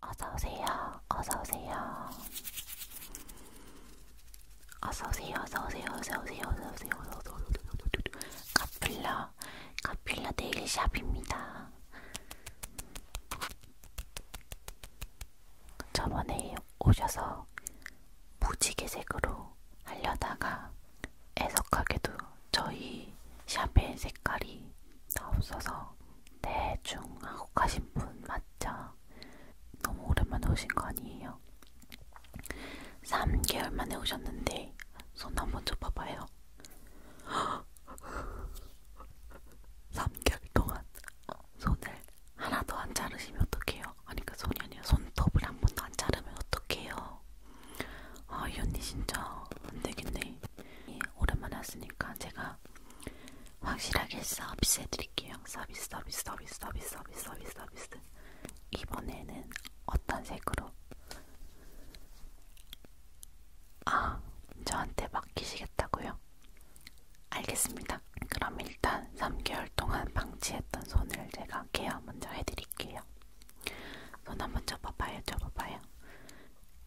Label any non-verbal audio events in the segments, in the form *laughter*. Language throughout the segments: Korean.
어서오세요. 어서오세요. 어서오세요. 어서오세요. 어서오세요. 어서오세요. 카필라. 카필라 네일샵입니다. 저번에 오셔서 무지개색으로 하려다가 애석하게도 저희 샵의 색깔이 다 없어서 대충 하고 가신 분 맞죠? 너무 오랜만에 오신 거 아니에요? 3개월 만에 오셨는데 손 한번 줘봐봐요. 3개월 *gasps* 동안 손을 하나도 안 자르시면 어떡해요? 아니 그 손이 아니라 손톱을 한 번도 안 자르면 어떡해요? 아 이 언니 진짜 안되겠네. 오랜만에 왔으니까 제가 제가 확실하게 서비스 해드릴게요. 서비스, 서비스, 서비스, 서비스, 서비스, 서비스, 서비스. 이번에는 어떤 색으로? 아, 저한테 맡기시겠다고요? 알겠습니다. 그럼 일단 3개월 동안 방치했던 손을 제가 케어 먼저 해드릴게요. 손 한번 접어봐요, 접어봐요.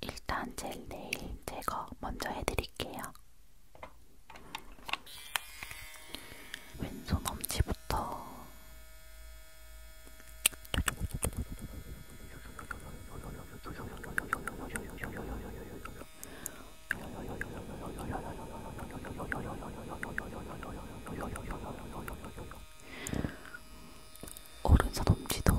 일단 제 네일 제거 먼저 해드릴게요. 왼손 엄지부터 오른손 엄지도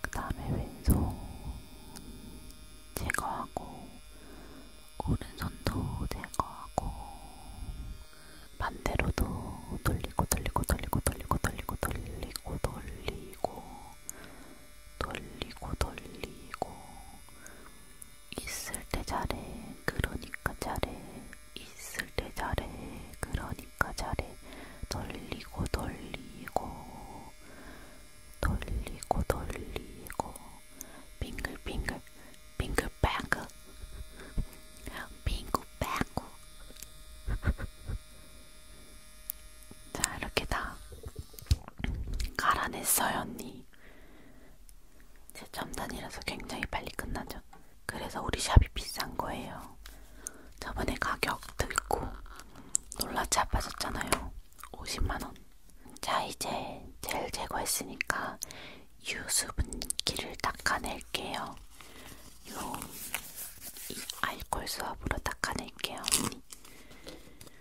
그 다음에 왼손 제거하고 오른손도 제거하고 반대로도 돌리고 돌리고 돌리고 돌리고 돌리고 돌리고 돌리고 돌리고 돌리고 있을 때 잘해 그러니까 잘해 있을 때 잘해 그러니까 잘해 돌리고 돌리고 돌리고 돌리고 빙글빙글 빙글뱅글 빙글뱅글 자 이렇게 다 갈아냈어요 언니. 제 첨단이라서 굉장히 빨리 끝나죠. 그래서 우리 샵이 비싼 거예요. 저번에 가격 들고 놀라지 아빠졌잖아요. 50만원. 자, 이제 젤 제거했으니까 유수분기를 닦아낼게요. 요, 이 알콜 수압으로 닦아낼게요, 언니.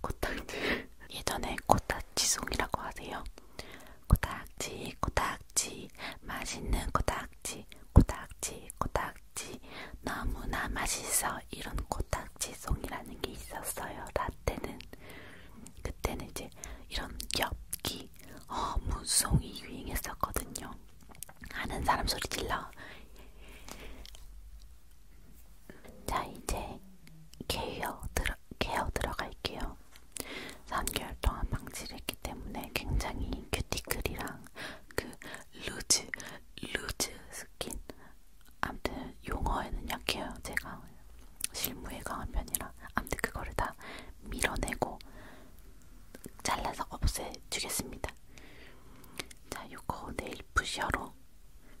코딱지, 코딱지. *laughs* 예전에 코딱지송이라고 하세요. 코딱지, 코딱지, 맛있는 코딱지, 코딱지, 코딱지, 너무나 맛있어. 이런 코딱지송이라는 게 있었어요. 라떼는 그때는 이제 이런 엽기, 어무송이 유행했었거든요. 아는 사람 소리 질러. 자 이제 개요 들어 들어, 케어 들어갈게요. 3개월 동안 방치를 했기 때문에 굉장히 큐티클이랑 그 루즈, 루즈 스킨. 아무튼 용어에는 약해요. 제가 실무에 강한 편이라. 아무튼 그거를 다 밀어내고 잘라서 없애주겠습니다. 자, 요거 네일 푸셔로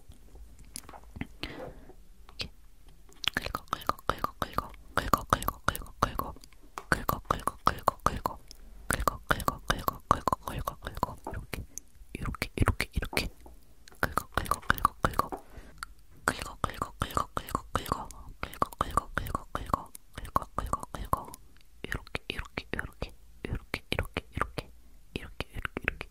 이렇게 긁어 긁어 긁어 긁어 긁어 긁어 긁어 긁어 긁어 긁어 긁어 긁어 긁어 긁어 긁어 긁어 긁어 긁어 이렇게 이렇게 이렇게 이렇게 긁어 긁어 긁어 긁어 긁어 긁어 긁어 긁어 긁어 긁어 긁어 긁어 긁어 긁어 긁어 긁어 이렇게 이렇게 이렇게 이렇게 이렇게 이렇게 이렇게 이렇게 이렇게 이렇게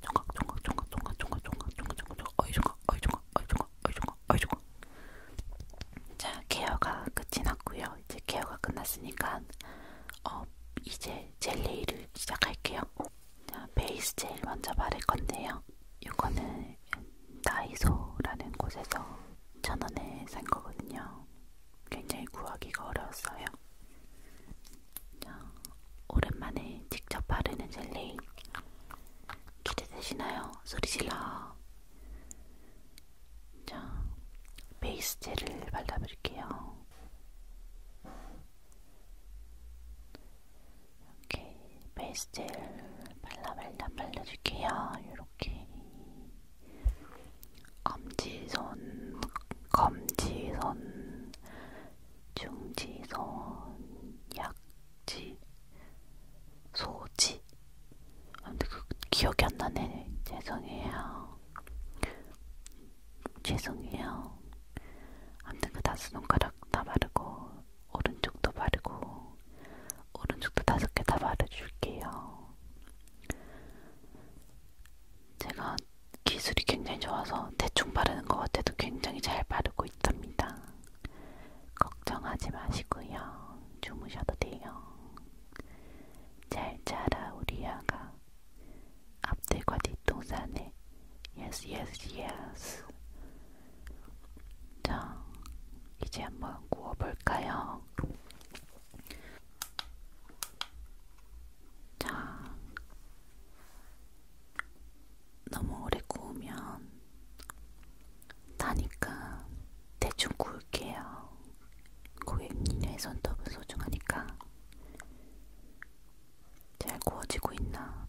종각 종각 종각 종각 종각 종각 종각 종각 종각 어이 종각 어이 종각 어이 종각 어이 종각 어이 종각 자 케어가 끝이 났고요 이제 케어가 끝났으니까 어 이제 젤레이를 시작할게요 자 베이스 젤 먼저 바를 건데요 이거는 다이소라는 곳에서 천원에 산 거거든요 굉장히 구하기가 어려웠어요 자, 오랜만에 직접 바르는 젤리 기대되시나요? 소리질러 자, 베이스 젤을 발라볼게요 이렇게 베이스 젤 발라 발라 발라줄게요 이렇게 엄지손, 검지손, 중지서원, 약지, 소지. 아, 근데 그 기억이 안 나네. 죄송해요. 죄송해요. 아무튼 그 다섯 손가락 다 바르고 오른쪽도 바르고 오른쪽도 다섯 개 다 바르줄게요. 제가 기술이 굉장히 좋아서 대충 바르는 것 같아도 굉장히 잘 바르고 있답니다. 걱정하지 마시고요. 주무셔도 돼요. 잘 자라 우리 아가. 앞뒤과 뒷동산에 yes yes yes. 자, 이제 한번 구워볼까요? 자, 너무 오래 구우면 타니까 대충 구울게요. 고객님의 손톱은 소중하니까 잘 구워지고 있나?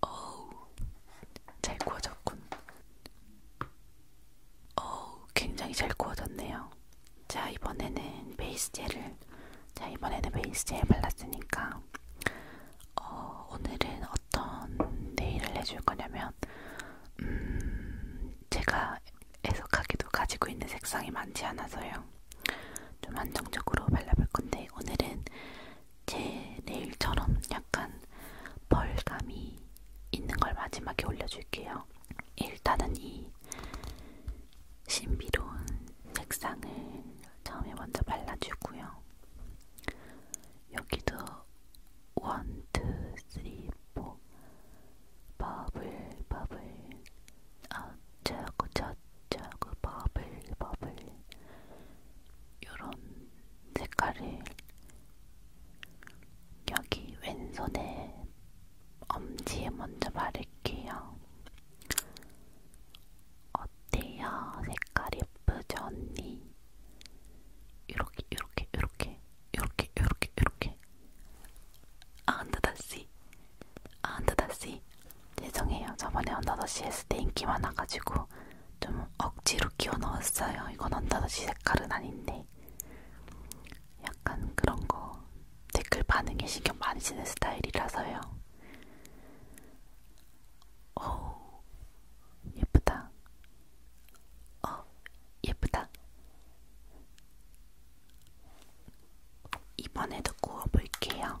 어우, 잘 구워졌군. 어우, 굉장히 잘 구워졌네요. 자, 이번에는 베이스 젤을, 자, 이번에는 베이스 젤 발랐으니까, 어, 오늘은 어떤 네일을 해줄 거냐면, 음, 제가 애석하게도 가지고 있는 색상이 많지 않아서요. 좀 안정적으로 발라볼 건데, 오늘은 제 네일처럼 약간 벌감이 있는 걸 마지막에 올려줄게요. 일단은 이 신비로운 색상을 처음에 먼저 발라주고요. 여기도 1, 2, 3, 4 버블 버블 어, 저고 저그 버블 버블 요런 색깔을 여기 왼손에 엄지에 먼저 바를게요. 어때요? 색깔 예쁘죠 언니? 요렇게 요렇게 요렇게 요렇게 요렇게 요렇게 안다 아, 다시 안다 아, 다시 죄송해요. 저번에 언더더시 했을 때 인기 많아가지고 좀 억지로 끼워 넣었어요. 이건 언더더시 색깔은 아닌데 약간 그런 거 댓글 반응에 신경 많이 쓰는 스타일이라서요. 오 예쁘다. 어 예쁘다. 이번에도 구워볼게요.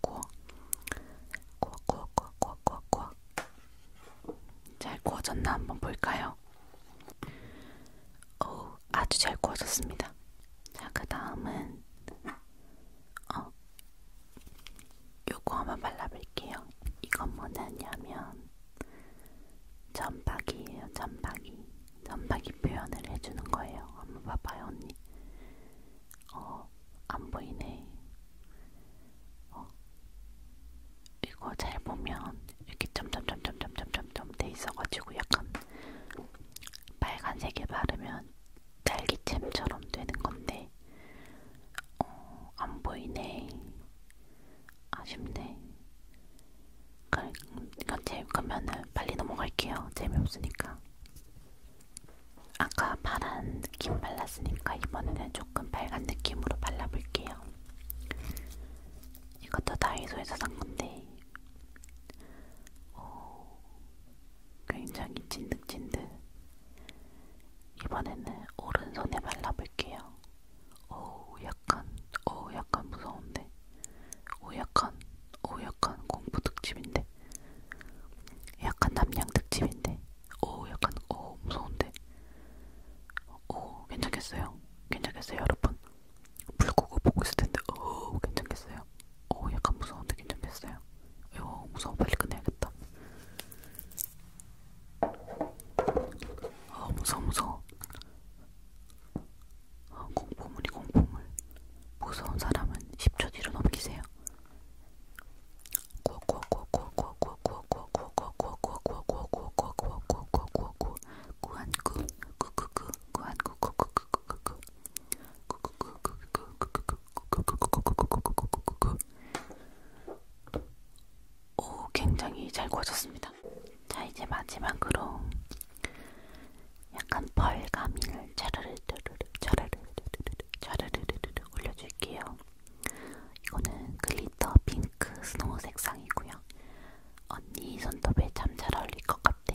구워 구워 구워 구워 구워 구워 구워 잘 구워졌나 한번 볼까요? 오, 아주 잘 구워졌습니다. 자, 그 다음은 어, 요거 한번 발라볼게요. 이건 뭐냐면 점박이에요, 점박이. 점박이 표현을 해주는 거예요. 한번 봐봐요, 언니. 어, 안 보이네. 어, 이거 잘 보면 이렇게 점점점점점점점점 돼 있어가지고 약간 빨간색에 바르면 딸기잼처럼 되는 건데, 어, 안 보이네. 아쉽네. 그러니까 제, 그러면은 빨리 넘어갈게요. 재미없으니까. 아까 파란 느낌 발랐으니까 이번에는 조금 빨간 느낌으로 발라볼게요. 이것도 다이소에서 산 건데 오, 굉장히 찐득찐득. 이번에는 오른손에 발라볼게요. 오, 약간, 오, 약간 무서운데. 오, 약간, 오, 약간 공포 특집인데. 같은데 약간 남양 특집인데 오 약간 오 무서운데 오 괜찮겠어요? 괜찮겠어요 여러분? 물고기 보고 있을 텐데 오 괜찮겠어요? 오 약간 무서운데 괜찮겠어요? 오 무서워 빨리 끝내야겠다 어 무서워 무서워 어, 공포물이 공포물 무서운 사람은 10초 뒤로 넘기세요 오, 굉장히 잘 구워졌습니다. 자, 이제 마지막으로 약간 벌가미를 차르르르르 차르르르르 차르르르르 올려줄게요. 이거는 글리터 핑크 스노우 색상이고요. 언니 손톱에 참 잘 어울릴 것 같아.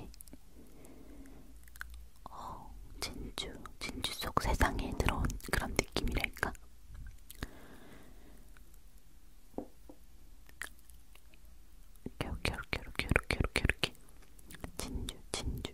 어, 진주, 진주 속 세상에 들어온 그런 느낌이랄까? 이렇게, 이렇게, 이렇게, 이렇게, 이렇게, 이렇게. 진주, 진주.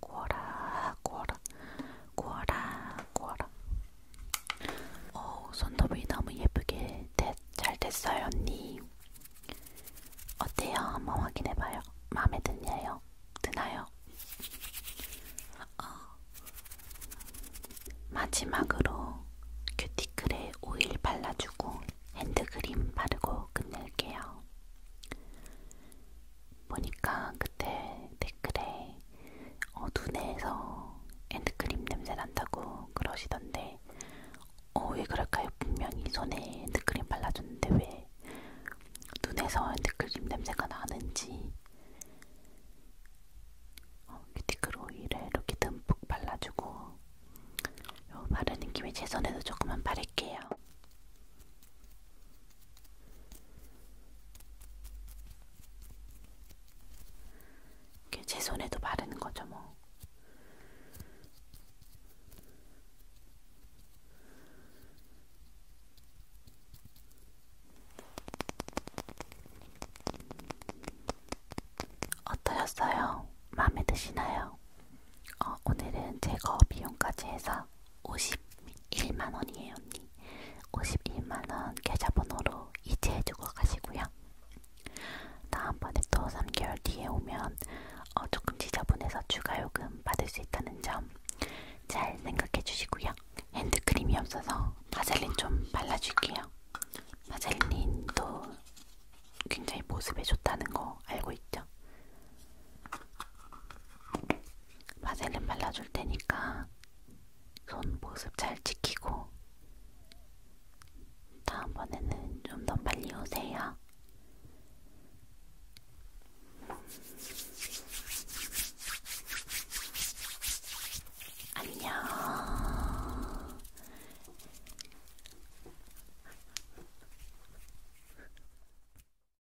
구워라 구워라 구워라 구워라 오 손톱이 너무 예쁘게 됐, 잘 됐어요 언니 어때요? 한번 확인해봐요 마음에 드냐요? 드나요? 어. 마지막으로 큐티클에 오일 발라주고 핸드크림 바르고 끝낼게요. 보니까 그때 댓글에 어, 눈에서 핸드크림 냄새 난다고 그러시던데 어, 왜 그럴까요? 분명히 손에 핸드크림 발라줬는데 왜 눈에서 핸드크림 냄새가 나는지 어, 큐티클 오일을 이렇게 듬뿍 발라주고 어, 바르는 김에 제 손에도 조금만 바를게요. 그냥 제 손에도 바르는 거죠, 뭐. 어떠셨어요? 마음에 드시나요? 어, 오늘은 제거 비용까지 해서 아 51만원이에요 언니 51만원 계좌번호로 이체해주고 가시고요 다음번에 또 3개월 뒤에 오면 어, 조금 지저분해서 추가요금 받을 수 있다는 점 잘 생각해주시고요 핸드크림이 없어서 바셀린 좀 발라줄게요 바셀린도 굉장히 보습에 좋다는 거 알고 있죠? 바셀린 발라줄 테니까 손 모습 잘 지키고 다음번에는 좀 더 빨리 오세요. 안녕.